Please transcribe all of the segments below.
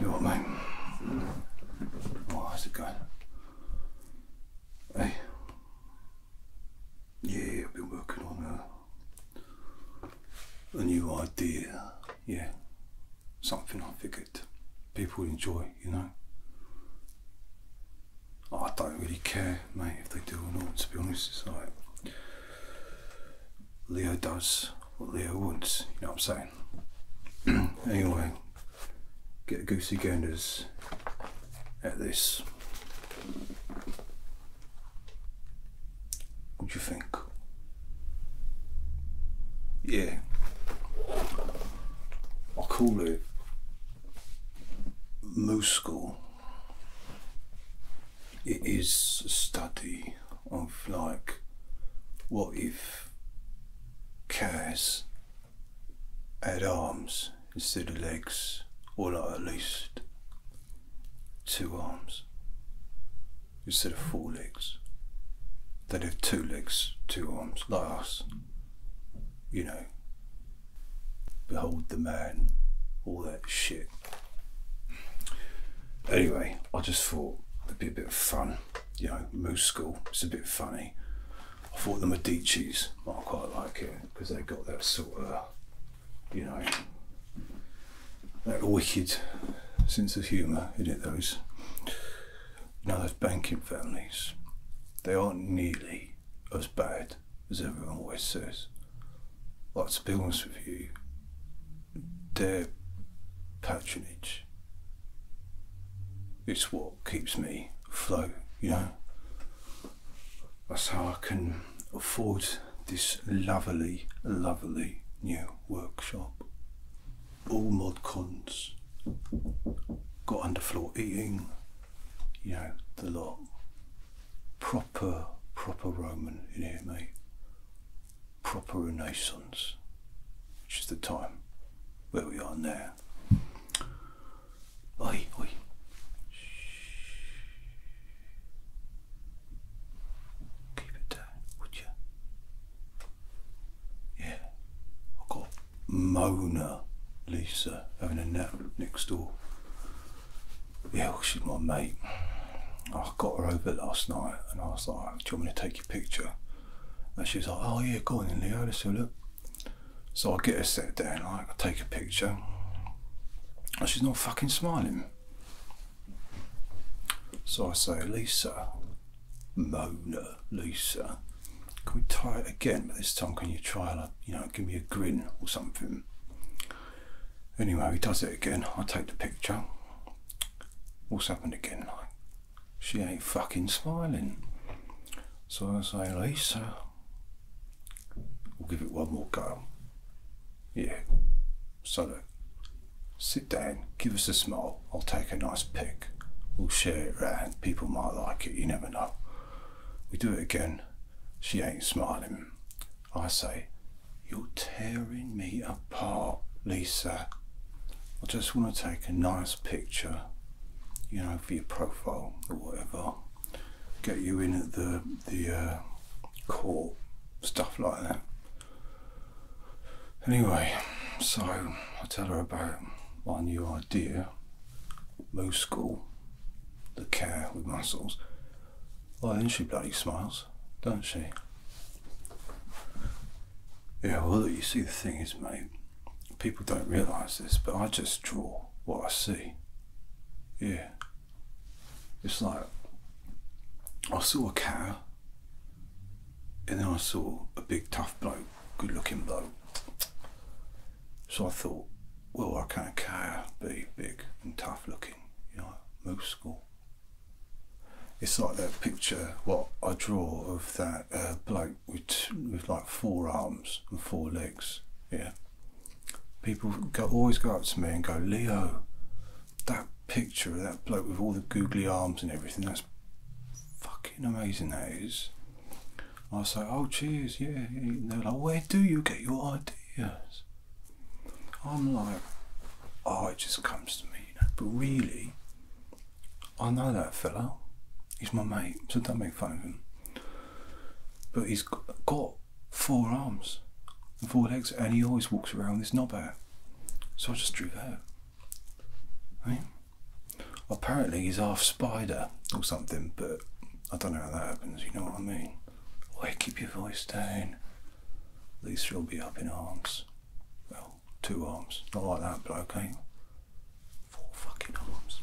You what, mate? Oh, it going? Hey. Yeah, I've been working on a new idea yeah, something I figured people enjoy, you know. I don't really care, mate, if they do or not, to be honest. It's like Leo does what Leo wants, you know what I'm saying? anyway, get Goosey Ganders at this. What do you think? Yeah. I call it Moose School. It is a study of like what if cats had arms instead of legs, or at least two arms instead of four legs. They'd have two legs, two arms, like us. You know. Behold the man, all that shit. Anyway, I just thought it'd be a bit of fun. You know, Moose School, it's a bit funny. I thought the Medici's might quite like it because they have got that sort of, you know, that wicked sense of humour, in it, those? know those banking families, they aren't nearly as bad as everyone always says. Like, to be honest with you, their patronage it's what keeps me afloat, you know. That's how I can afford this lovely, lovely new workshop all mod cons. Got underfloor eating, you know, the lot. Proper, proper Roman in here, mate. Proper Renaissance, which is the time where we are now. Oi, oi. Keep it down, would you? Yeah, i got Mona Lisa having a nap next door. Yeah, she's my mate. I got her over last night and I was like, Do you want me to take your picture? And she's like, Oh, yeah, go on then, Leo, let's have a look. So I get her set down, like, I take a picture. And she's not fucking smiling. So I say, Lisa, Mona Lisa, can we try it again? But this time, can you try and, uh, you know, give me a grin or something? Anyway, he does it again. I take the picture. What's happened again? she ain't fucking smiling. So I say, Lisa, we'll give it one more go. Yeah, so of sit down, give us a smile, I'll take a nice pic, we'll share it round, people might like it, you never know. We do it again, she ain't smiling. I say, You're tearing me apart, Lisa. I just want to take a nice picture, you know, for your profile or whatever. Get you in at the, the uh, court, stuff like that. Anyway, so I tell her about my new idea, move school, the care with muscles. Why doesn't she bloody smiles, don't she? Yeah, well, you see, the thing is, mate, people don't realise this, but I just draw what I see. Yeah. It's like, I saw a cow and then I saw a big tough bloke, good looking bloke. So I thought, well, I can't care be big and tough looking, you know, moose school. It's like that picture, what I draw of that uh, bloke with, with like four arms and four legs, yeah. People go, always go up to me and go, Leo, that picture of that bloke with all the googly arms and everything. That's fucking amazing, that is. I was oh, cheers, yeah. they're like, where do you get your ideas? I'm like, oh, it just comes to me, you know. But really, I know that fella. He's my mate, so don't make fun of him. But he's got four arms and four legs, and he always walks around this knobhead. So I just drew that. Right? Apparently he's half spider or something, but I don't know how that happens, you know what I mean? Hey, keep your voice down? At least you'll be up in arms. Well, two arms. Not like that, but okay. Four fucking arms.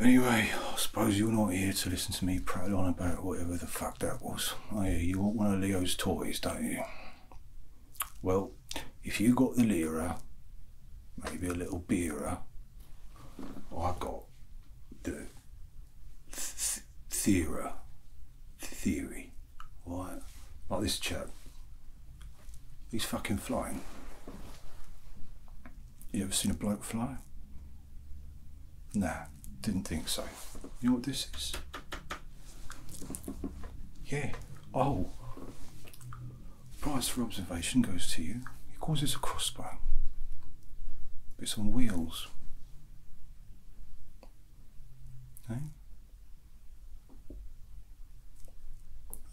Anyway, I suppose you're not here to listen to me prattle on about whatever the fuck that was. Oh, you want one of Leo's toys, don't you? Well, if you got the lira, maybe a little beerer, I got the th theory, theory, right? Like this chap. He's fucking flying. You ever seen a bloke fly? Nah didn't think so. You know what this is? Yeah. Oh. Prize for observation goes to you. He calls a crossbow. It's on wheels. Eh?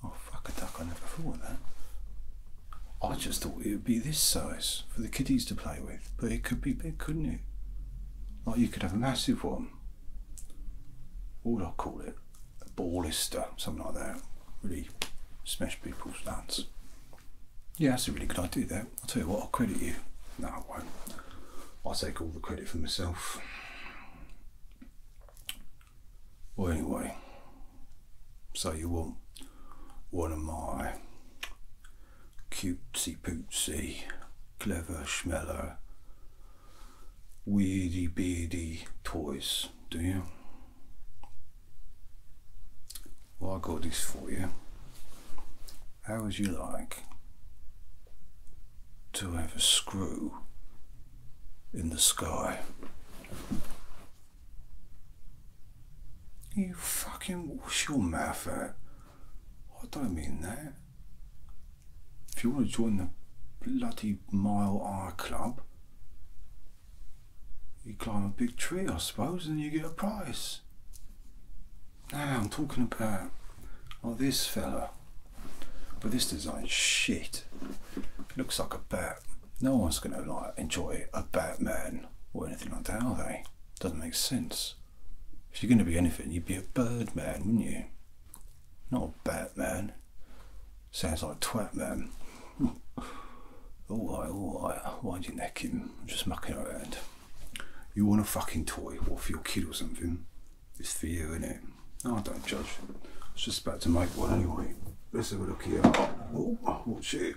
Oh fuck a duck, I never thought of that. I just thought it would be this size for the kiddies to play with, but it could be big, couldn't it? Like you could have a massive one. What would I call it? A ballister, something like that. Really smash people's nuts. Yeah, that's a really good idea there. I'll tell you what, I'll credit you. No, I won't. I'll take all the credit for myself. Well, anyway, so you want one of my cutesy pootsy, clever schmeller, weedy beady toys, do you? Well, I got this for you. How would you like to have a screw in the sky? You fucking wash your mouth out. I don't mean that. If you want to join the bloody Mile R Club, you climb a big tree, I suppose, and you get a prize. Now I'm talking about oh, this fella. But this design, shit. looks like a bat. No one's gonna like enjoy a Batman or anything like that, are they? Doesn't make sense. If you're going to be anything, you'd be a birdman, wouldn't you? Not a Batman. Sounds like twat man. alright, alright, wind your neck in. I'm just mucking around. You want a fucking toy, what for your kid or something? It's for you, isn't it? Oh, don't judge. I was just about to make one anyway. Let's have a look here. Oh, watch oh, oh, it.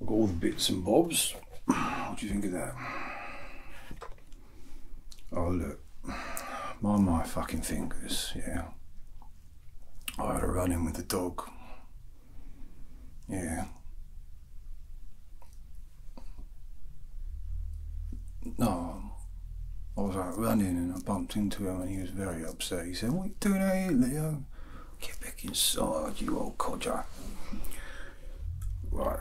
I've got all the bits and bobs. What do you think of that? Oh, look. My, my fucking fingers, yeah. I had a run in with the dog. Yeah. No, I was out running and I bumped into him and he was very upset. He said, What you doing out here, Leo? Get back inside, you old codger. Right.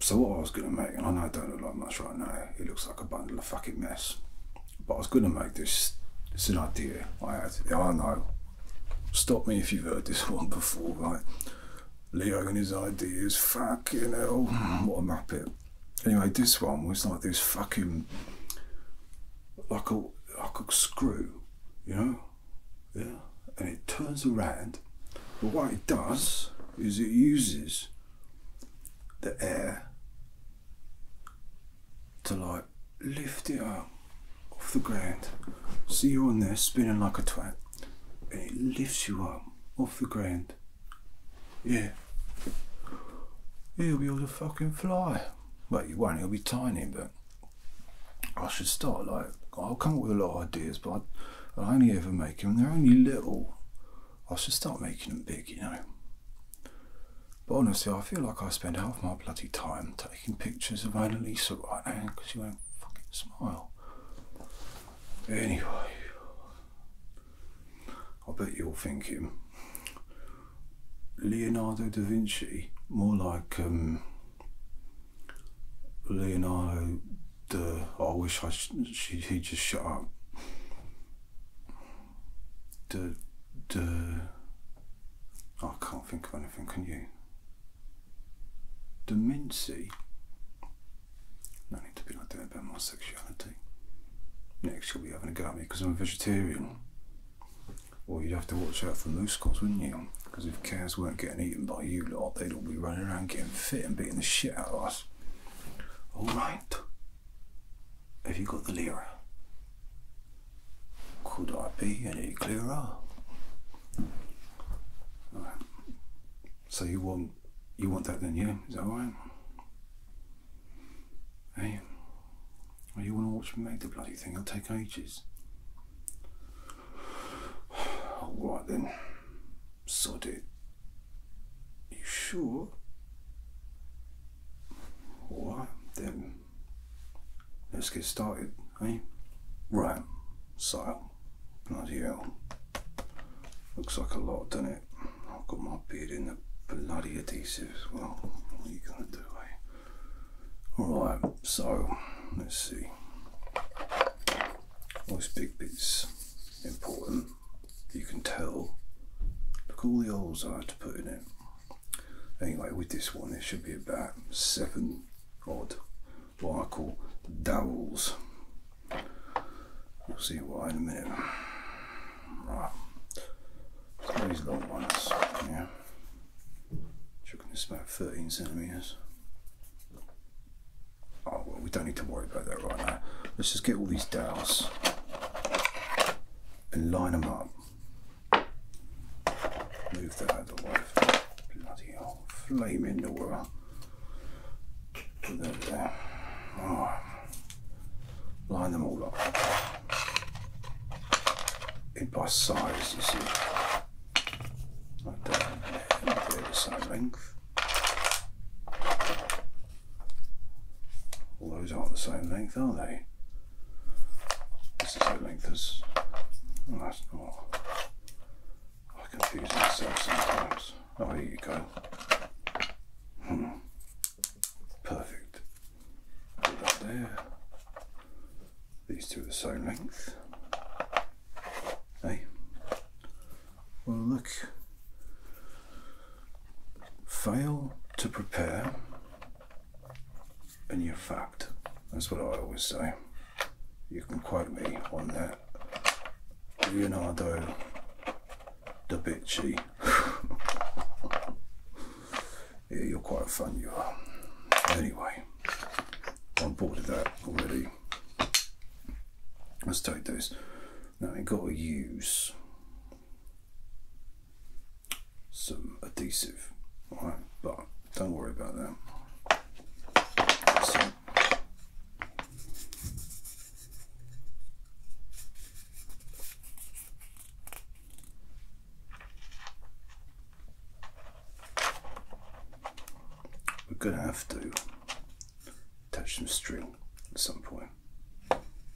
So what I was gonna make, and I know it don't look like much right now, it looks like a bundle of fucking mess. But I was gonna make this it's an idea I had. Yeah, I know. Stop me if you've heard this one before, right? Leo and his ideas, fucking hell, mm, what a muppet. Anyway, this one was like this fucking, like a, like a screw, you know? yeah, and it turns around. But what it does is it uses the air to like lift it up off the ground. See you on there spinning like a twat, and it lifts you up off the ground. Yeah. He'll be able to fucking fly. Well, you won't, he'll be tiny, but I should start like I'll come up with a lot of ideas, but I, I only ever make them. They're only little. I should start making them big, you know. But honestly, I feel like I spend half my bloody time taking pictures of Annalisa right now because you won't fucking smile. Anyway, I bet you're thinking Leonardo da Vinci, more like um, Leonardo, the I wish I she he just shut up. The the I can't think of anything. Can you? The Mincy. No need to be like that about my sexuality. Next, you'll be having a go because I'm a vegetarian. Well, you'd have to watch out for Moosecocks, wouldn't you? Because if cows weren't getting eaten by you lot, they'd all be running around getting fit and beating the shit out of us. All right. Have you got the lira? Could I be any clearer? So you want you want that then, yeah? Is that right? Hey, well, you want to watch me make the bloody thing? It'll take ages. Alright then. Sod it. You sure? Alright then. Let's get started, eh? Right. So, bloody hell. Looks like a lot, doesn't it? I've got my beard in the bloody adhesive as well. What are you gonna do, eh? Alright, so let's see. Nice big bits, important. You can tell. Look all the holes I had to put in it. Anyway, with this one, it should be about seven odd, what I call dowels. We'll see why in a minute. Right. these long ones, yeah. Checking this about 13 centimetres. Oh well, we don't need to worry about that right now. Let's just get all these dowels and line them up. Move that out way. Bloody hell, flame in the world. Put that there. Line them all up it by size, you see. Like that, and they the same length. All those aren't the same length, are they? This is the length as. Oh, that's not. I confuse myself sometimes. Oh, here you go. Hmm. Perfect there. These two are the same length. Hey. Well, look. Fail to prepare and you're fucked. That's what I always say. You can quote me on that. Leonardo da Vinci. Yeah, you're quite fun, you are. Anyway, I'm bored of that already. Let's take this. Now I gotta use some adhesive, alright, but don't worry about that. We're going to have to attach some string at some point.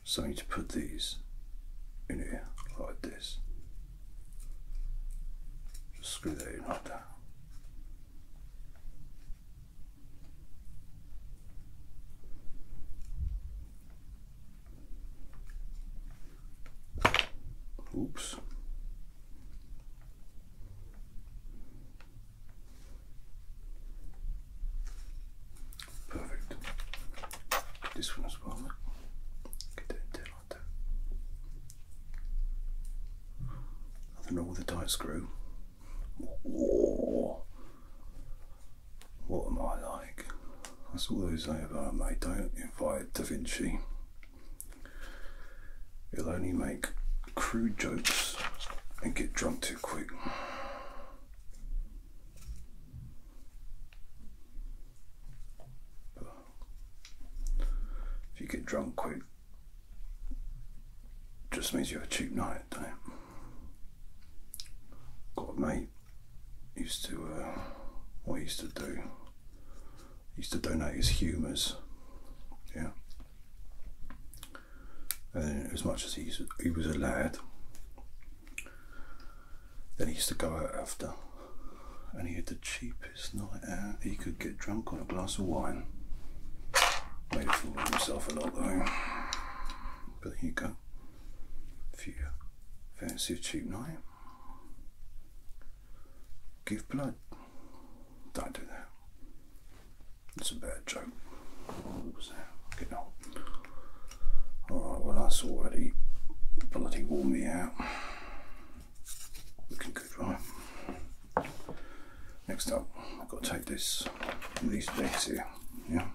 So I need to put these in here like this. screw that in like that. Oops. Perfect. This one's well. Get that down like that. Nothing wrong with the tight screw. What am I like? I saw those over mate, don't invite Da Vinci. He'll only make crude jokes and get drunk too quick. if you get drunk quick, just means you have a cheap night, don't you? God mate, used to, uh, what he used to do, used to donate his humours, yeah. And as much as he, he was a lad, then he used to go out after and he had the cheapest night out he could get drunk on a glass of wine. Made a fool of himself a lot though. But there you go. If fancy a cheap night. Give blood. Don't do that. It's a bad joke. What was that? Get on. Alright, well, that's already bloody worn me out. Looking good, right? Next up, I've got to take this, these bags here. Yeah.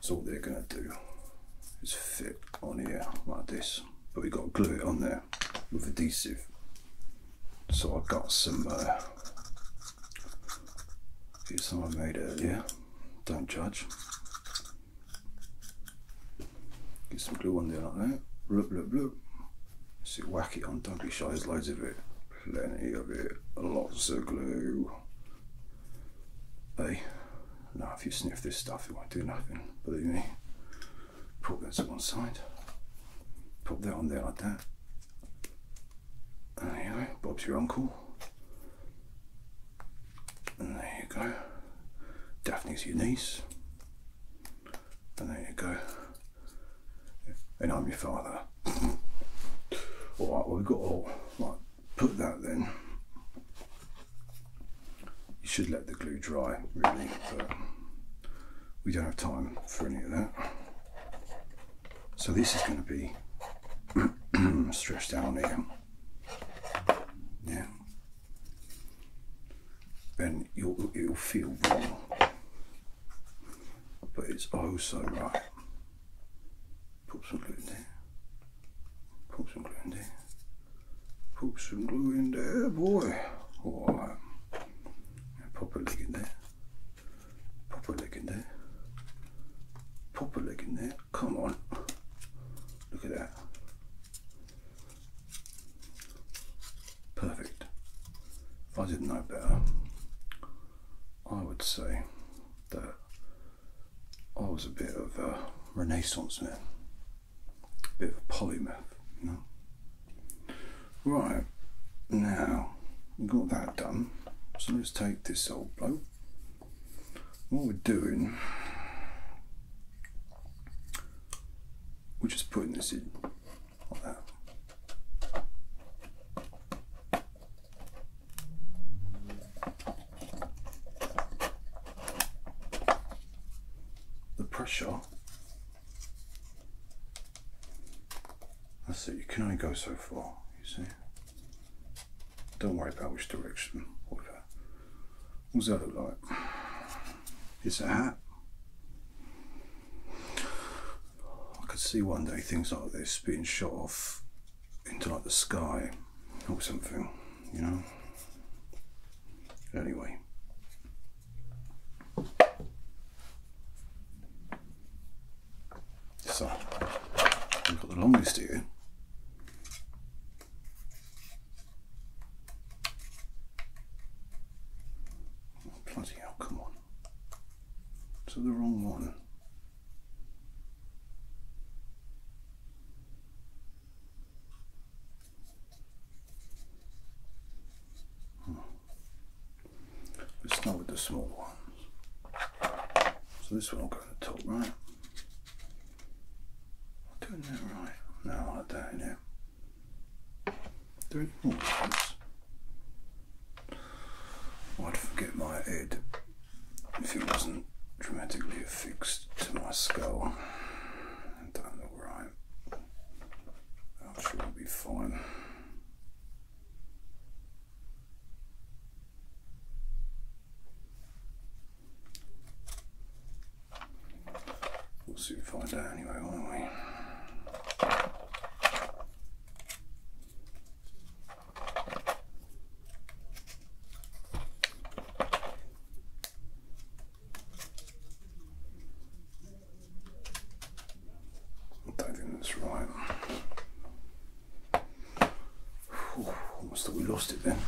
So all they're going to do is fit on here like this. But we've got to glue it on there with adhesive. So I've got some uh, bits I made earlier. Don't judge. Get some glue on there like that. Look, look, look. See, whack it on, don't be shy, there's loads of it. Plenty of it. Lots of glue. Hey, now if you sniff this stuff, it won't do nothing, believe me. Put that to one side. Put that on there like that. there you go, Bob's your uncle. And there you go. Daphne's your niece. And there you go. And I'm your father. Alright, well, we've got all right put that then. You should let the glue dry really, but we don't have time for any of that. So this is going to be stretched down here. Yeah. And you'll, it'll feel wrong, but it's oh so right. Put some glue in there. Put some glue in there. Put some glue in there, boy. Or pop a leg in there. Pop a leg in there. Pop a leg in there. Come on. Look at that. Perfect. If I didn't know better, I would say that I was a bit of a Renaissance man, a bit of a polymath, Right, now we've got that done, so let's take this old bloke. What we're doing, we're just putting this in like that the pressure that's it you can only go so far you see don't worry about which direction whatever what's that look like it's a hat I could see one day things like this being shot off into like the sky or something, you know. Anyway. So, I've got the longest here. Oh, bloody hell, come on. To the wrong one. Hmm. Let's start with the small ones. So this one will go on the top right. I'm doing that right. No, I don't. know. There any I'd forget my head if it wasn't dramatically affixed to my skull and done the right, I'm sure it'll be fine. We'll see soon find out anyway, won't we? Diving this right. almost thought we lost it then.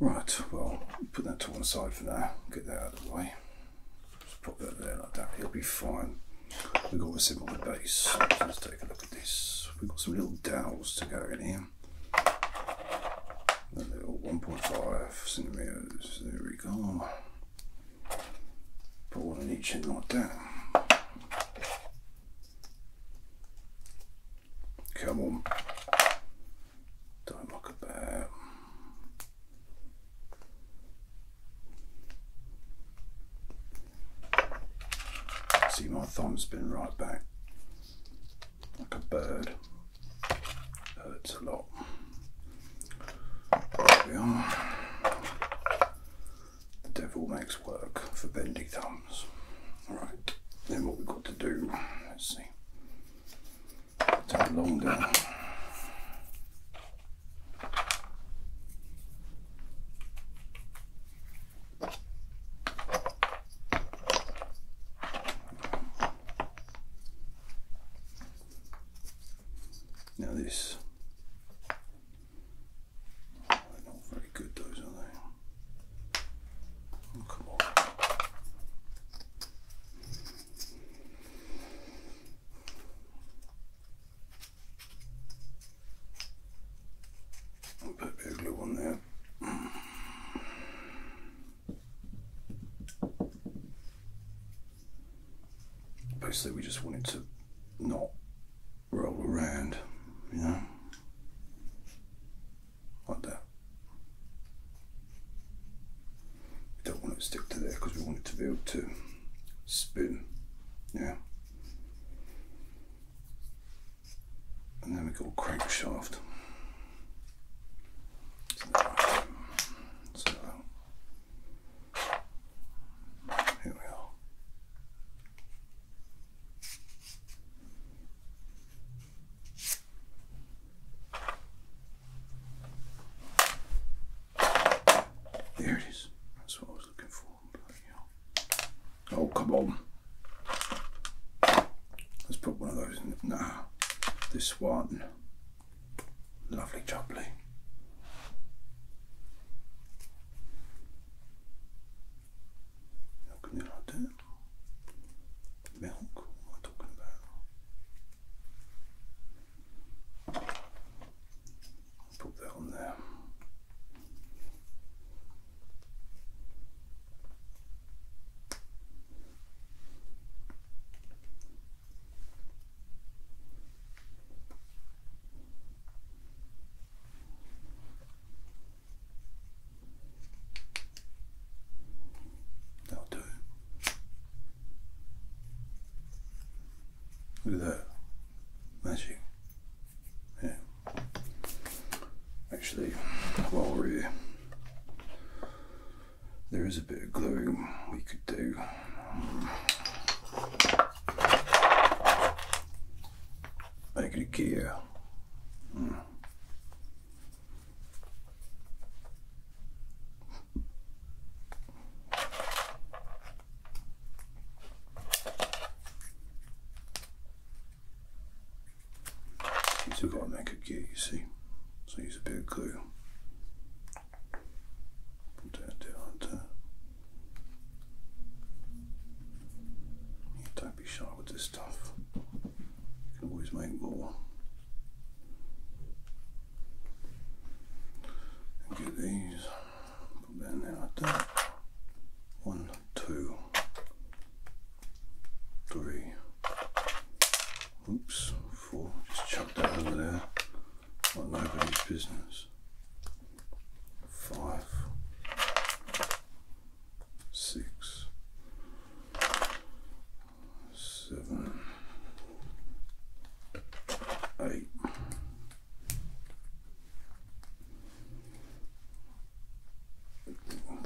Right, well, put that to one side for now. Get that out of the way. Just pop that there like that. It'll be fine. We've got a similar base. let's take a look at this. We've got some little dowels to go in here um, little 1.5 centimeters. There we go. Put one in each and like that. Come on. Don't look about. See, my thumb's been right back like a bird. Hurts a lot. There we are. The devil makes work for bendy thumbs. All right. then what we've got to do, let's see. Take long down. Now this, not very good those are they? Oh, come on. Put a bit of glue on there. Basically, we just wanted to not roll around, you know? Like that. We don't want it to stick to there because we want it to be able to spin, yeah? and then we got crankshaft. So here we are. There it is. That's what I was looking for. Oh, come on. Let's put one of those in. now. this one. Lovely jubbly. How can you like that? Milk? What am I talking about? put that on there. That'll do. Look at that. Magic. Yeah. Actually, while we're here, there is a bit of gluing we could do. Make it a gear. You got all I could get, you see. So I use a bit of glue. Put that down there. Yeah, don't be shy with this stuff. You can always make more. get these. Put that there like that. One, two, three, oops, four. Just chuck that over there Not nobody's business. Five. Six. Seven. Eight.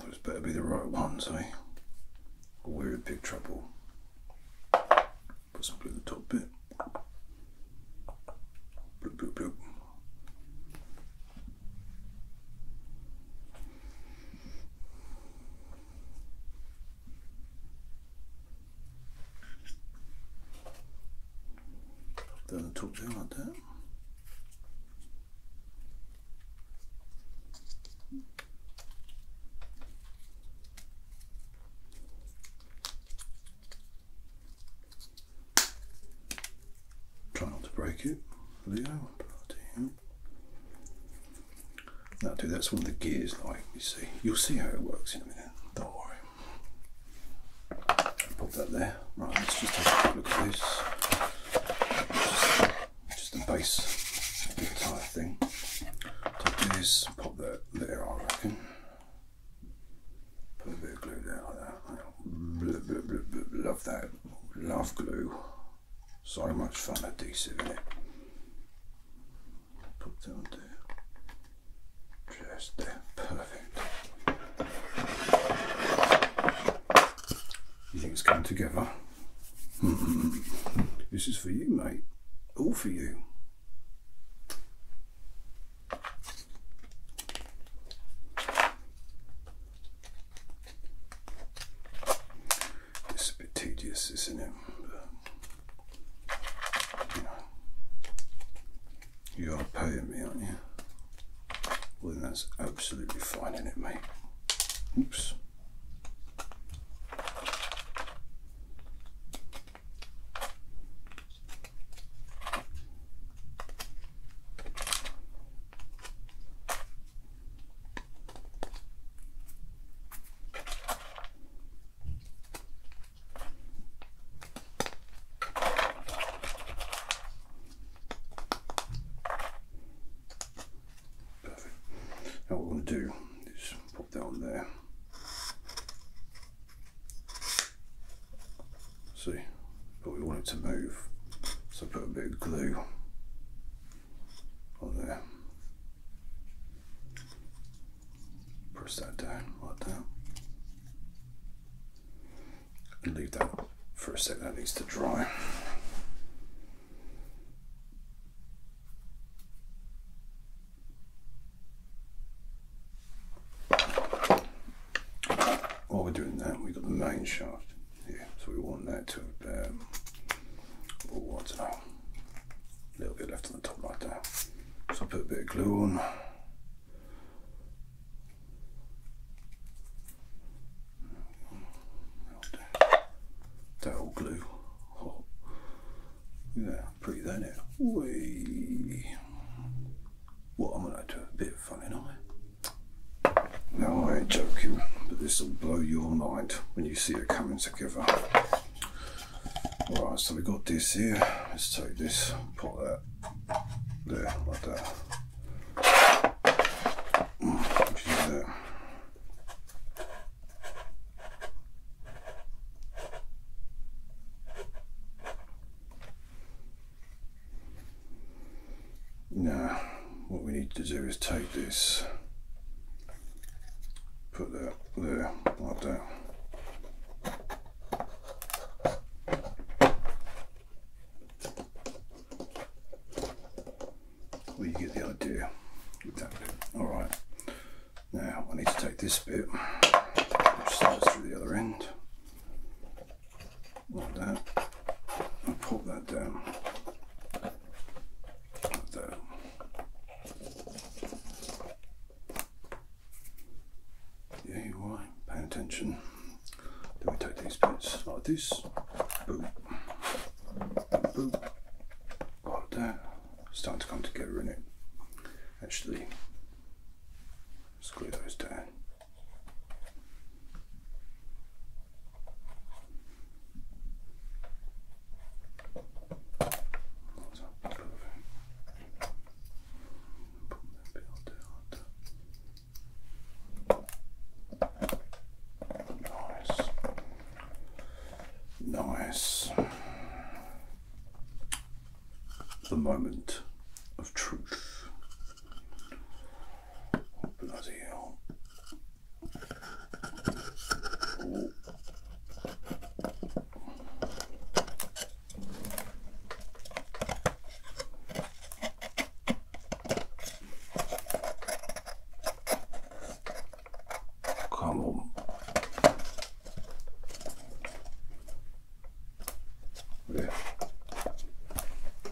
Those better be the right ones, eh? we're in big trouble. Put some glue in the top bit. Bloop, bloop, bloop. Down the top like that. Try not to break it, Leo. That'll do. That's one of the gears, like you see. You'll see how it works in a minute. Don't worry. Put that there. Right, let's just have a look at this. Just, the base of the entire thing. Take this, pop that there, I reckon. Put a bit of glue there like that. Love that. Love glue. So much fun adhesive in it. Put that on there. Just there. Perfect. You think it's coming together? this is for you, mate. All for you. It's a bit tedious, isn't it? you are paying me, aren't you? Well, that's absolutely fine, in it, mate? Oops. Now what we're going to do is pop that on there. See, but we want it to move, so put a bit of glue on there. Press that down like that leave that for a sec. that needs to dry. While we're doing that, we've got the main shaft here, so we want that to um, a little bit left on the top like that. So I will put a bit of glue on that old glue. yeah, pretty, that in. Wee. What am I going to do? A bit of fun, am I? No, I ain't joking, but this will blow your mind when you see it coming together. Alright, so we got this here. Let's take this, put that there, like that. Now, what we need to do is take this, put that there, like that. Well, you get the idea All right. Now I need to take this bit, which slides through the other end, like that, and pull that down. Like that. Yeah, you are. Pay attention. Then we take these bits like this. boom, boom, Like that. starting to come together in it. Actually, screw those down. Put that bit on Nice. Nice. The moment of truth. Oh, bloody hell. Ooh. Come on. There.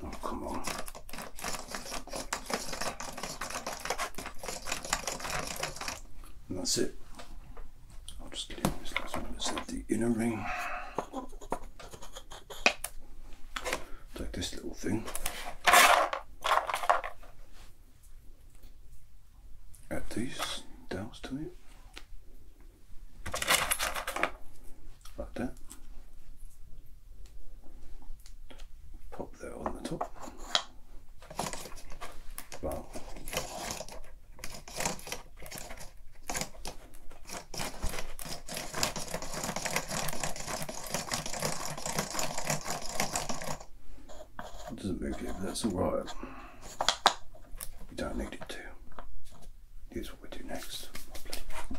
Oh, come on. And that's it. I'll just leave this last one. This the inner ring. Take this little thing. Add these dials to it. Like that. Pop that on the top. Wow doesn't move you, but that's alright. We don't need it to. Here's what we do next.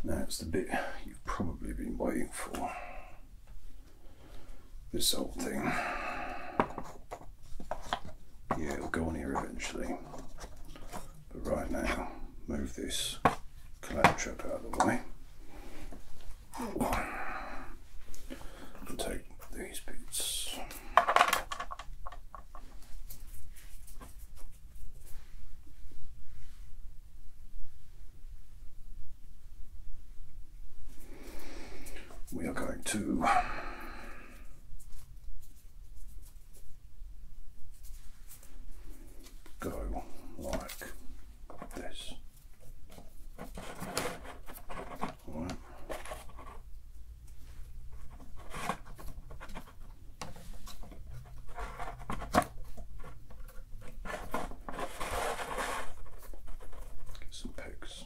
That's the bit you've probably been waiting for. This old thing. Yeah, it'll go on here eventually. But right now, move this collab trap out of the way. And take these bits. We are going to go like this. Right. Get some pegs.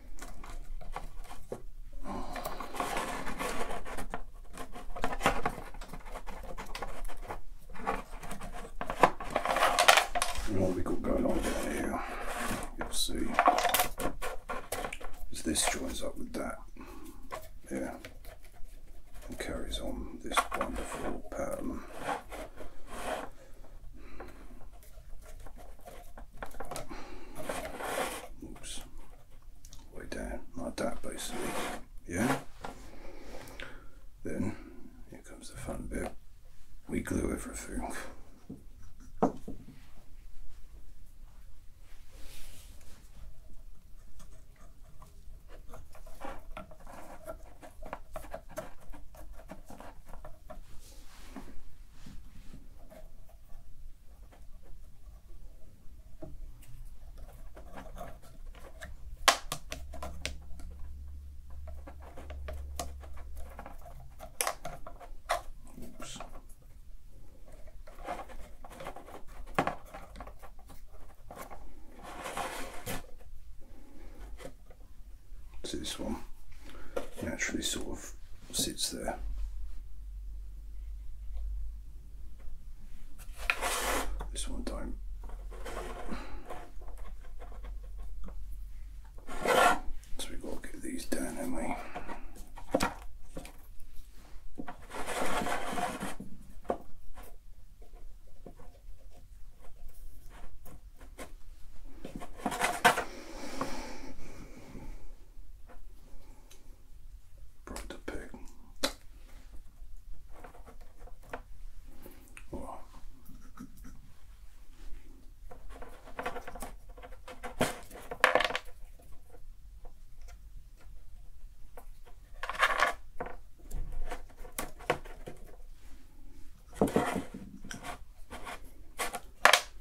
what we got going on down here, you'll see, is this joins up with that, yeah, and carries on this wonderful pattern. Oops. Way down, like that basically. Yeah? Then, here comes the fun bit. We glue everything. Oops. So this one naturally sort of sits there. This one time. So we've got to get these down, have Brought the pig. Wow.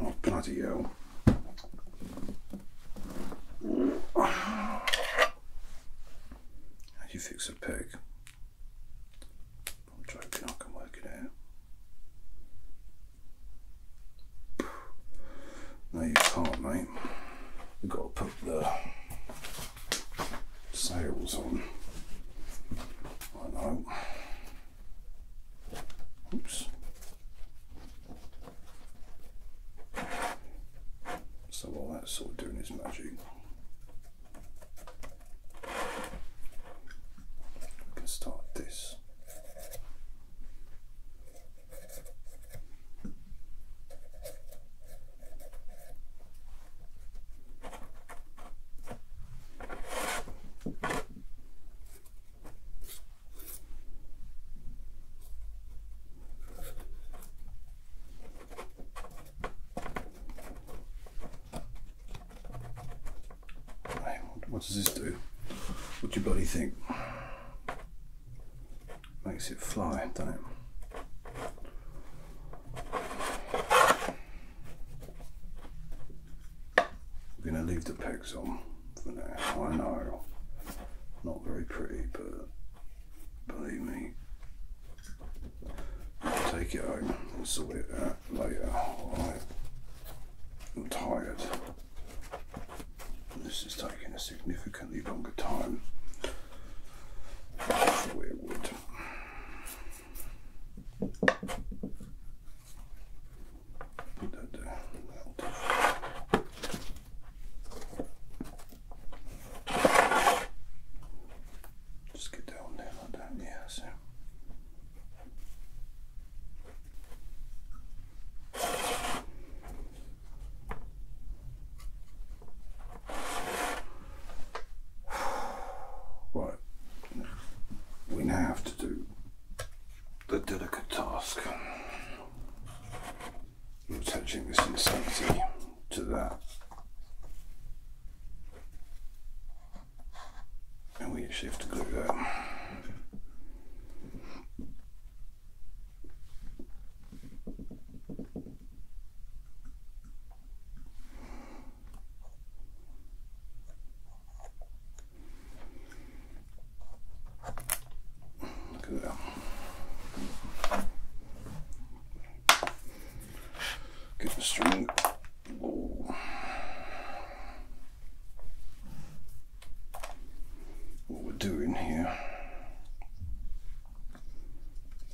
Oh, bloody hell. How do you fix a peg? I'm joking, I can work it out. No, you can't, mate. we have got to put the sails on. I know. Oops. So while that's sort of doing its magic, we can start this. What does this do? What do you body think? Makes it fly, do not it? I'm going to leave the pegs on for now. I know, not very pretty, but believe me, take it home and sort it out later. I'm tired. This is taking a significantly longer time than it would. Put that Just get down there like that, yeah, so. Right. We now have to do the delicate task of attaching this insanity to that. And we actually have to glue that. Get the string. What we're doing here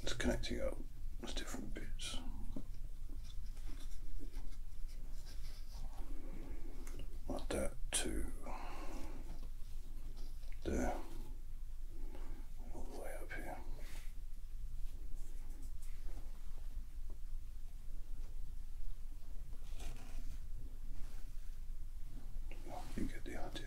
it's connecting up with different bits. Like that to there. All the way up here. You get the idea.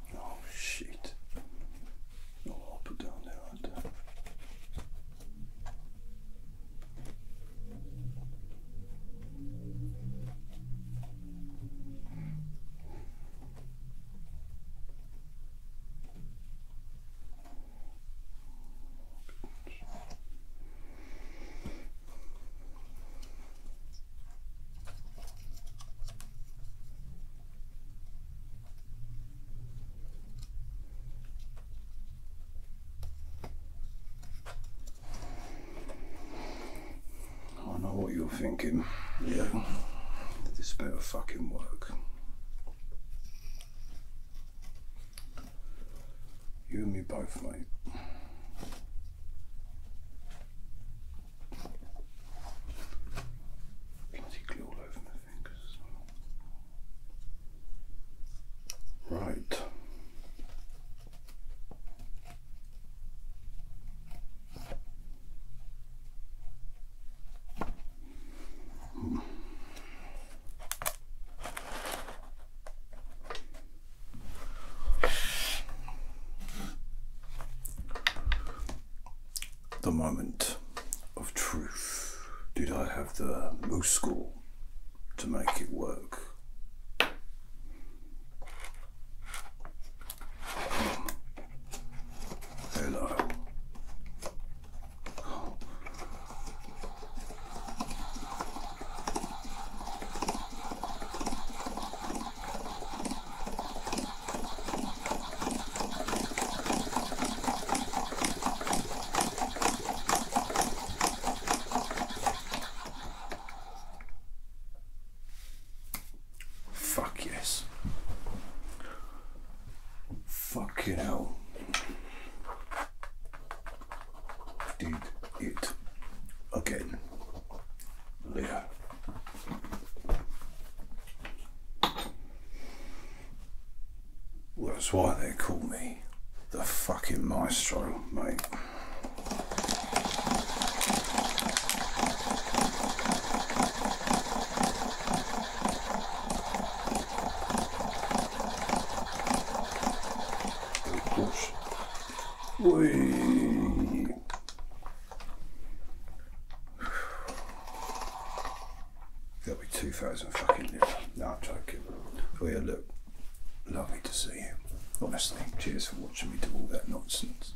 Oh shit. I'll put down there, are I know what you're thinking. Yeah. This better fucking work. You and me both, mate. Bloody glue all over my fingers Right. The moment of truth. Did I have the school to make it work? Hello. Fuck yes. Fucking hell. Did it again later. that's why they call me the fucking maestro, mate. Of course, there will be 2,000 fucking lira. No, I'm joking. Oh yeah, look. Lovely to see you. Honestly, cheers for watching me do all that nonsense.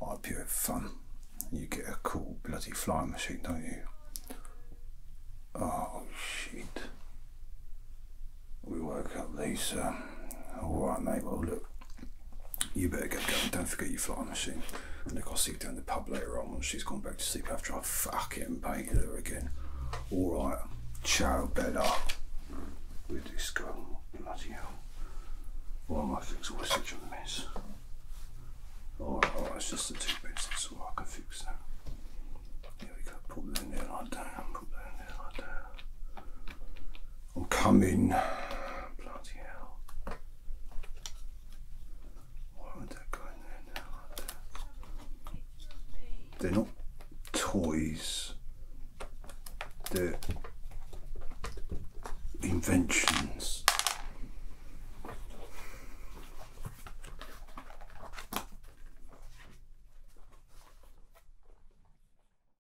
I hope you have fun. You get a cool bloody flying machine, don't you? Oh shit. We woke up these um, alright mate, well look you better get going. Don't forget your flying machine. And look, I'll see you down the pub later on when she's gone back to sleep after I've fucking painted her again. Alright. Ciao, Bella. With this girl. Bloody hell. Why am I fixing all such a mess? Alright, alright, it's just the two bits. That's all I can fix now. Here we go. Put that in there like that. Put that in there like that. I'm coming. Bloody hell. Why would that go there now They're not toys. They're inventions.